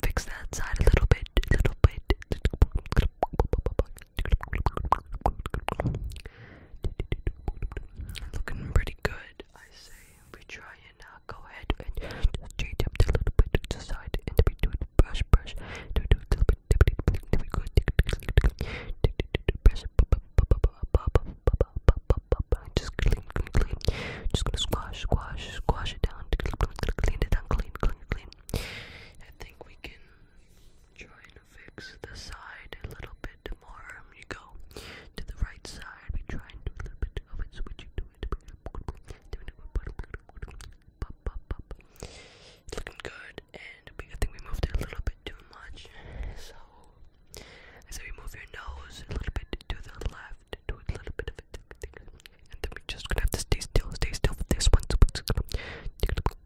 Fix that side a little bit, a little bit. Looking pretty good, I say we try and uh, go ahead and change up a little bit to the side and we do it brush brush do do a little bit then we go brush just clean clean clean just gonna squash squash squash it down clean it down clean clean clean I think we can try and fix the side a little bit tomorrow um, you go to the right side. We try and do a little bit of it, so what do it. looking good, and we, I think we moved it a little bit too much. So, I so we move your nose a little bit to the left, do a little bit of it, and then we just gonna have to stay still, stay still for this one. So, just gonna,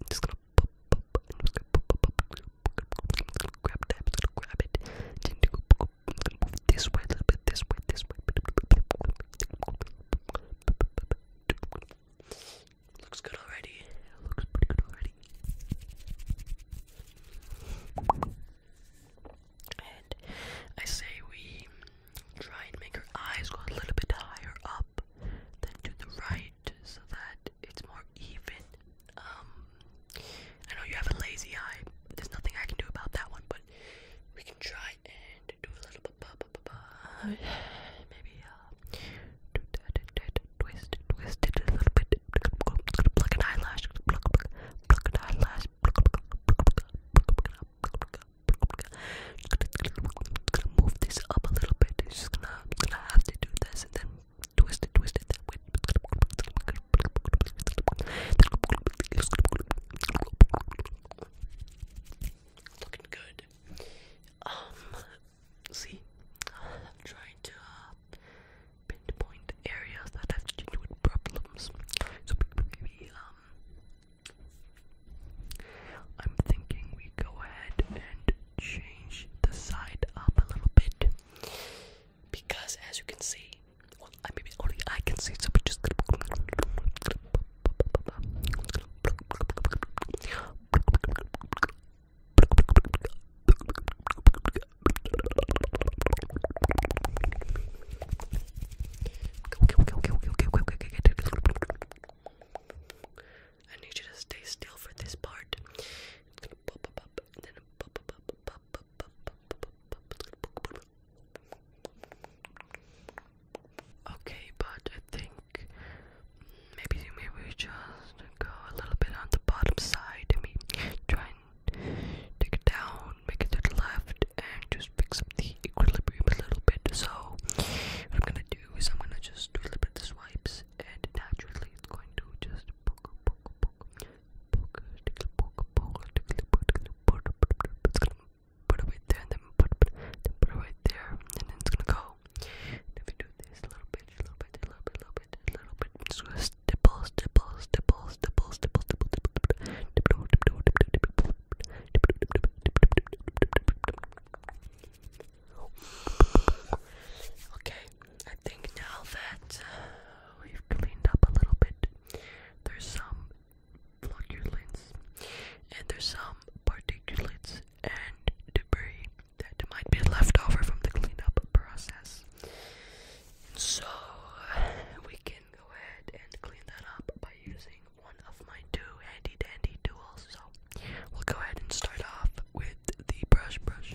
just gonna, pop, pop, and just gonna pop, pop, pop, Looks good already. Looks good already. And I say we try and make her eyes go a little bit higher up than to the right so that it's more even. Um, I know you have a lazy eye. There's nothing I can do about that one, but we can try and do a little bit. Maybe uh, do that, that, that, twist, twist it a little bit. Pluck an eyelash, pluck, pluck, pluck an eyelash. Pluck, pluck, pluck, pluck, pluck, Move this up a little bit. It's just gonna, gonna have to do this, and then Twist it, twist it that way. Looking good. Um, see, I'm trying to uh, pinpoint areas that have to problems. So maybe um, I'm thinking we go ahead and change the side up a little bit because as you can see, only I can see, so we just I need you to stay still for this part. It's gonna pop up, and then pop up, pop up, Okay, but I think maybe maybe just go a little bit on the bottom side. I try and take it down, make it to the left, and just fix up the equilibrium a little bit. So what I'm gonna do is I'm gonna just do a little bit of swipes, and naturally it's going to just poke, poke, poke, it's gonna put it right there and then put, then put it right there and then it's gonna go. And if you do this a little bit, a little bit, a little bit, a little bit, a little bit, it's gonna stipple, stipple, stipple, stipple, stipple, stipple, stipple, stipple, Okay, I think now that uh, we've cleaned up a little bit, there's some flocculants and there's some particulates and debris that might be left over from the cleanup process. So we can go ahead and clean that up by using one of my two handy dandy tools. So we'll go ahead and start off with the brush brush.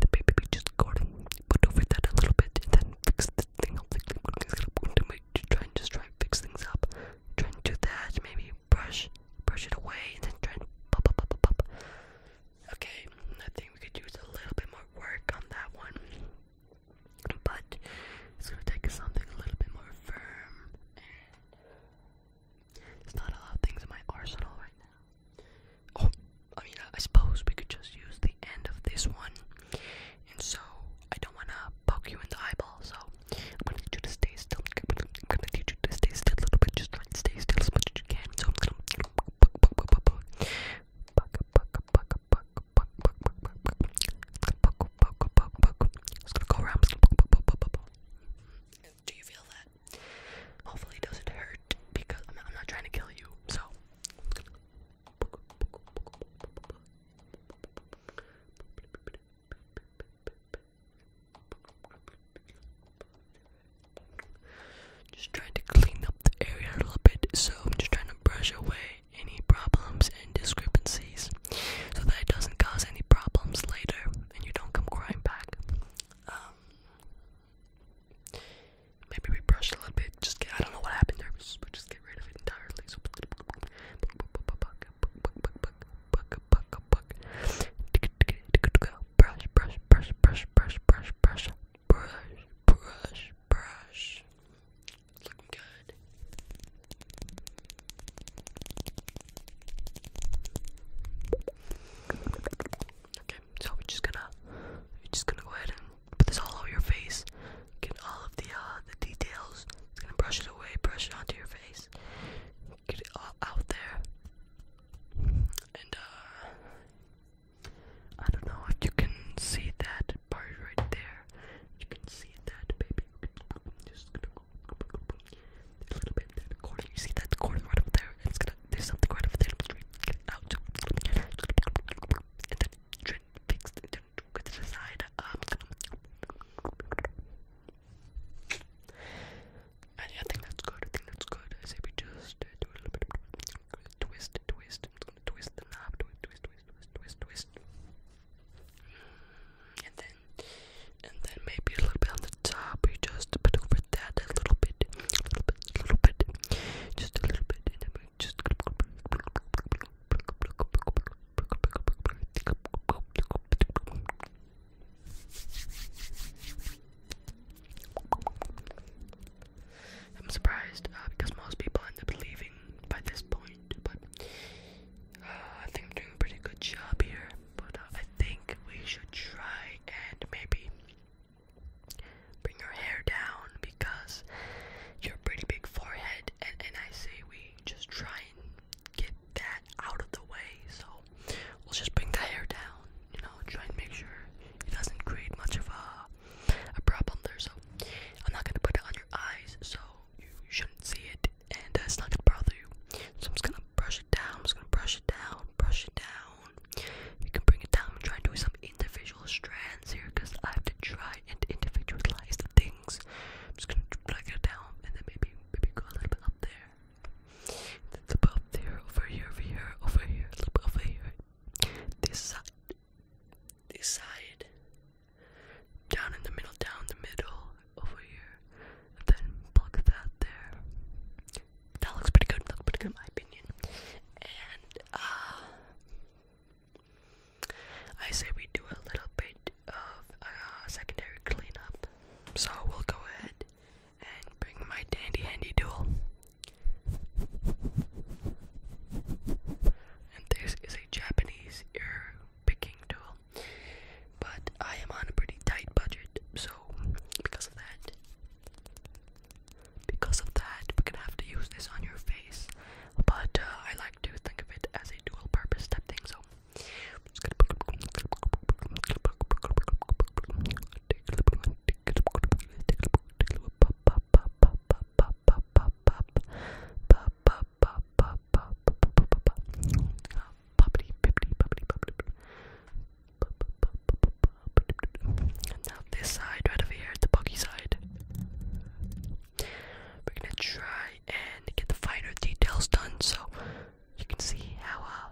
the baby be just garden, put over that a little bit, and then fix the thing up. Like, to try and just try and fix things up. Try and do that. Maybe brush, brush it away, and then try and pop, pop, pop, pop, pop. Okay, I think we could use a little bit more work on that one. But it's gonna take us something a little bit more firm. And it's not a lot of things in my arsenal right now. Oh, I mean, I suppose we could just use the end of this one. And so, I don't want to poke you in the eyeball, so I'm going to need you to stay still. I'm going to need you to stay still little Just try stay still as much as you can. So, I'm going to. go around. Do you feel that? Hopefully it doesn't hurt because I'm not, trying to kill you. So just trying to clean up the area a little bit. So I'm just trying to brush away any problems and discrepancies so that it doesn't cause any problems later and you don't come crying back. Um, Maybe we brushed a little bit. Just get, I don't know what happened there. But just, but just get rid of it entirely. So brush, brush, brush, brush, brush, brush, brush, brush, brush, brush. It's looking good. Okay, so we're just gonna we're just gonna go ahead and put this all over your face. Get all of the uh the details. It's gonna brush it away, brush it onto your face. Get it all out there. And uh I don't know if you can see that part right there. You can see that baby. Just gonna go a little bit that corner. You see that corner right up there? It's gonna there's something right over there. Get it out. And then fix it. Then go to the Um, and yeah, I think that's good. I think that's good. I say we just uh, do a little bit twist, twist, twist the knob, twist, twist, twist, twist, twist. And then, and then maybe a little bit on the top. We just put over that a little bit, a little bit, bit, a little bit, just a little bit, and I'm just I'm surprised uh, because most people end up leaving by this point, but uh, I think I'm doing a pretty good job here. But uh, I think we should try and maybe Bring your hair down because your pretty big forehead, and, I say we just try and get that out of the way. So we'll just bring the hair down, you know, try and make sure it doesn't create much of a, problem there. So I'm not gonna put it on your eyes, so you shouldn't see it, and uh, it's not gonna bother you. So I'm just gonna brush it down, just gonna brush it down, brush it down down. You can bring it down try and do some individual strands here because I have to try and individualize the things. I'm just gonna plug it down and then maybe maybe go a little bit up there. Then above there, over here, over here, over here, a little bit over here. This side, this side, down in the middle, down the middle, over here, then plug that there that looks pretty good. Looks pretty good in my opinion. And uh, I say we do a little bit of uh, secondary cleanup. So we'll go ahead and bring my dandy handy tool. And this is a Japanese ear picking tool. But I am on a pretty tight budget, so because of that, because of that, we're gonna have to use this on your face. But uh, I like to think of it as a dual purpose type thing, so just gonna now this side right over here, the buggy side. We're gonna try and get the finer details done so you can see how uh,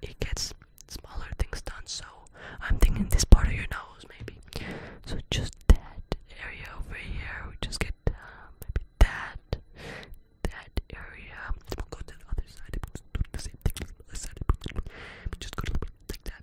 it gets smaller things done. So I'm thinking this part of your nose maybe. So just that area over here, we just get uh, maybe that, that area. We'll do the same thing on the other side. We just go a little bit like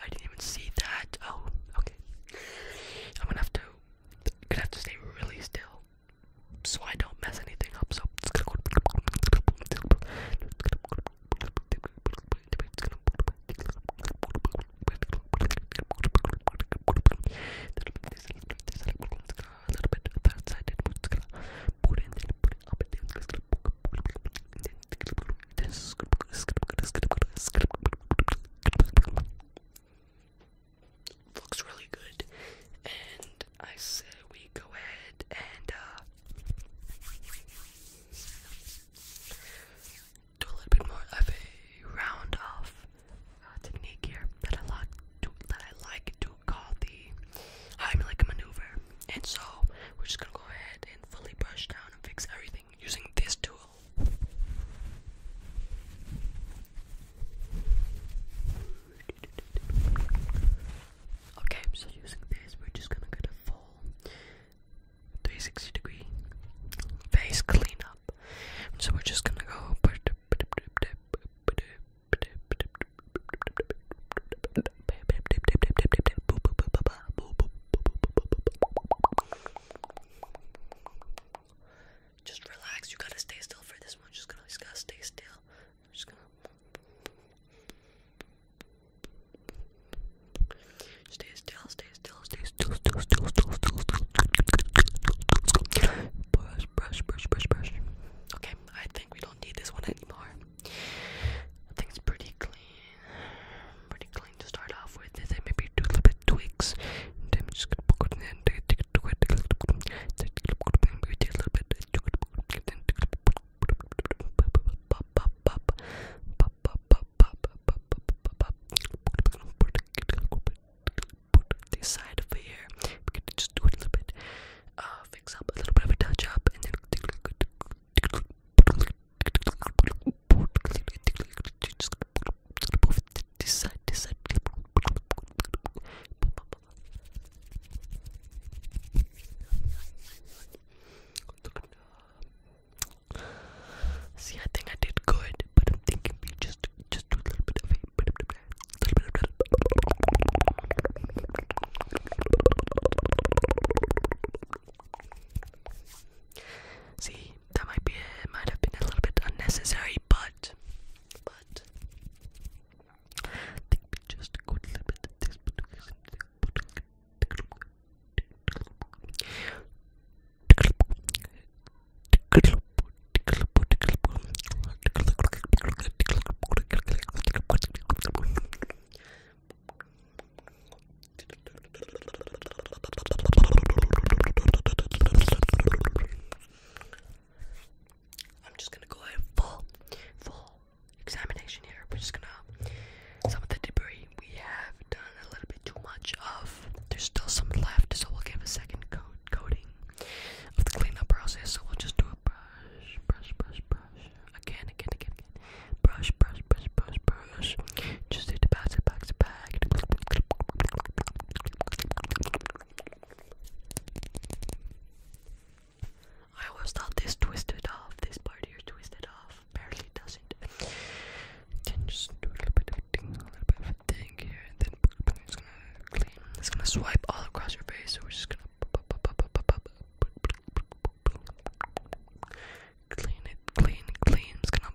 I didn't even see that. Oh, okay. I'm gonna have to, gonna have to stay really still, so I don't mess anything up. So it's gonna go. Looks really good, and I say we go ahead and uh, do a little bit more of a round off uh, technique here that I like to call the Heimlich maneuver. And so we're just gonna go ahead and fully brush down and fix everything using this tool. Okay, so using this, we're just gonna get a full 360 degree face cleanup. So we're just gonna go. Just relax. You gotta stay still for this one. I'm just gonna, just gotta stay still. I'm just gonna stay still, stay still, stay still, still, still, still, still, still. Brush, brush, brush, brush, brush. Okay, I think we don't need this one anymore. I think it's pretty clean pretty clean to start off with, and then maybe do a little bit of tweaks. And then I'm just gonna put it in, take it, take it, take it, take it, maybe take a little bit, take it, take it, then take it, pop, pop, pop, pop, pop, pop, pop, pop, pop, pop, put the side of here. We could just do it a little bit, uh, fix up a little bit of a touch up, and then move it this side, this side. See, I think I did good, but I'm thinking we just just do a little bit of it. Little bit of See, that might be might have been a little bit unnecessary, but but I'm just gonna go ahead full, full examination here. We're just gonna some of the debris we have done a little bit too much of. There's still some left, so we'll give a second coat coating of the cleanup process. So we'll just do a brush, brush, brush, brush again, again, again, again. Brush, brush, brush, brush, brush. Just need to pass it back to back. I always thought this twisted off. This part here twisted off. Apparently it doesn't. Then just do a little bit of thing, a little bit of a thing here, and then it's gonna clean. It's gonna swipe all across your face. So we're just gonna clean it, clean, clean. It's gonna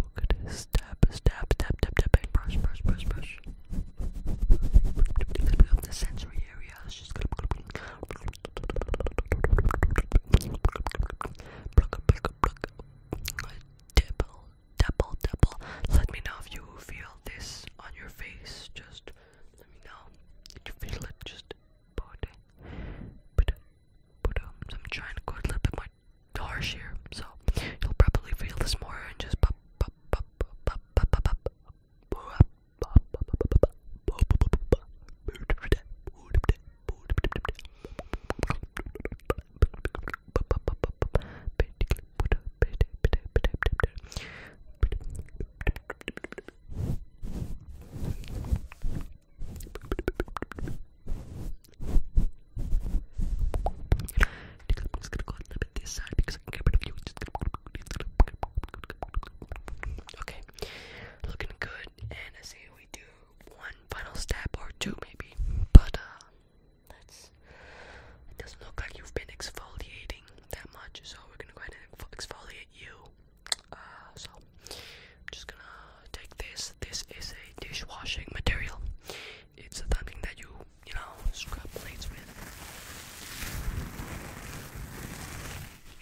Look at this. Tap, tap, brush, brush, brush, brush. Let's up the sensory area. just pluck, pluck, pluck. Let me know if you feel this on your face. Just let me know. Did you feel it? Just put put but um, so I'm trying to go a little bit more harsh here, so you'll probably feel this more and just pop, pop, pop, pop, pop, pop, pop, pop. Okay, looking good, and I say we do one final step or two maybe, but uh, It doesn't look like you've been exfoliating that much, so we're gonna go ahead and exfoliate you. Uh, so just gonna take this. This is a dishwashing material. It's something that you, you know, scrub plates with.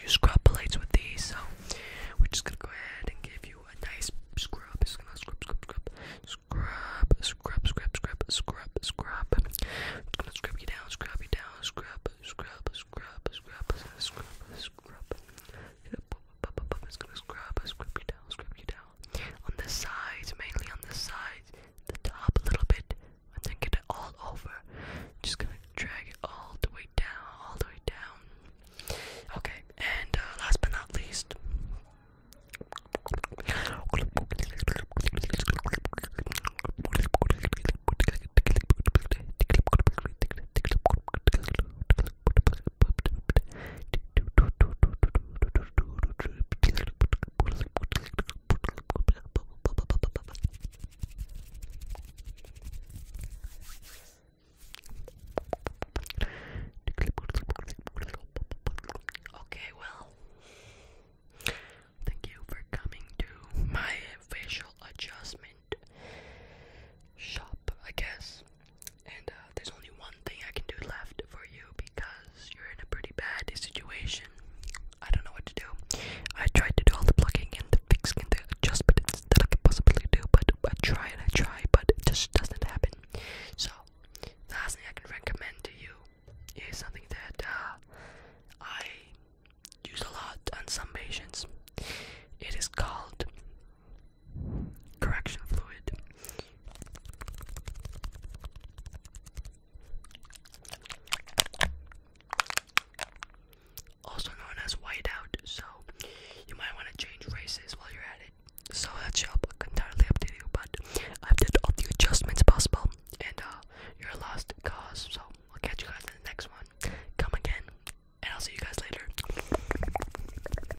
You scrub with these, so we're just gonna go ahead and give you a nice scrub. It's gonna scrub, scrub, scrub, scrub, scrub, scrub, scrub, scrub, scrub. It's gonna scrub you down, scrub you down, scrub, scrub, scrub, scrub, scrub, scrub. It's gonna scrub, scrub you down, scrub you down, on the sides, mainly on the sides, the top a little bit, and then get it all over. Just gonna drag it all the way down, all the way down. Okay, and uh, last but not least, Okay, well, thank you for coming to my facial adjustment shop, I guess. And uh, there's only one thing I can do left for you because you're in a pretty bad situation. I don't know what to do. I tried to do all the plugging and the fixing and the adjustments that I could possibly do, but I try and I try, but it just doesn't happen. So, the last thing I can recommend to you is something that uh, I use a lot on some patients. It is called correction fluid. Also known as whiteout, so you might want to change races while you're at it. So that's up entirely up to you, but I've did all the adjustments possible, and uh, you're lost cause. So I'll catch you guys in the next one. Come again, and I'll see you guys later.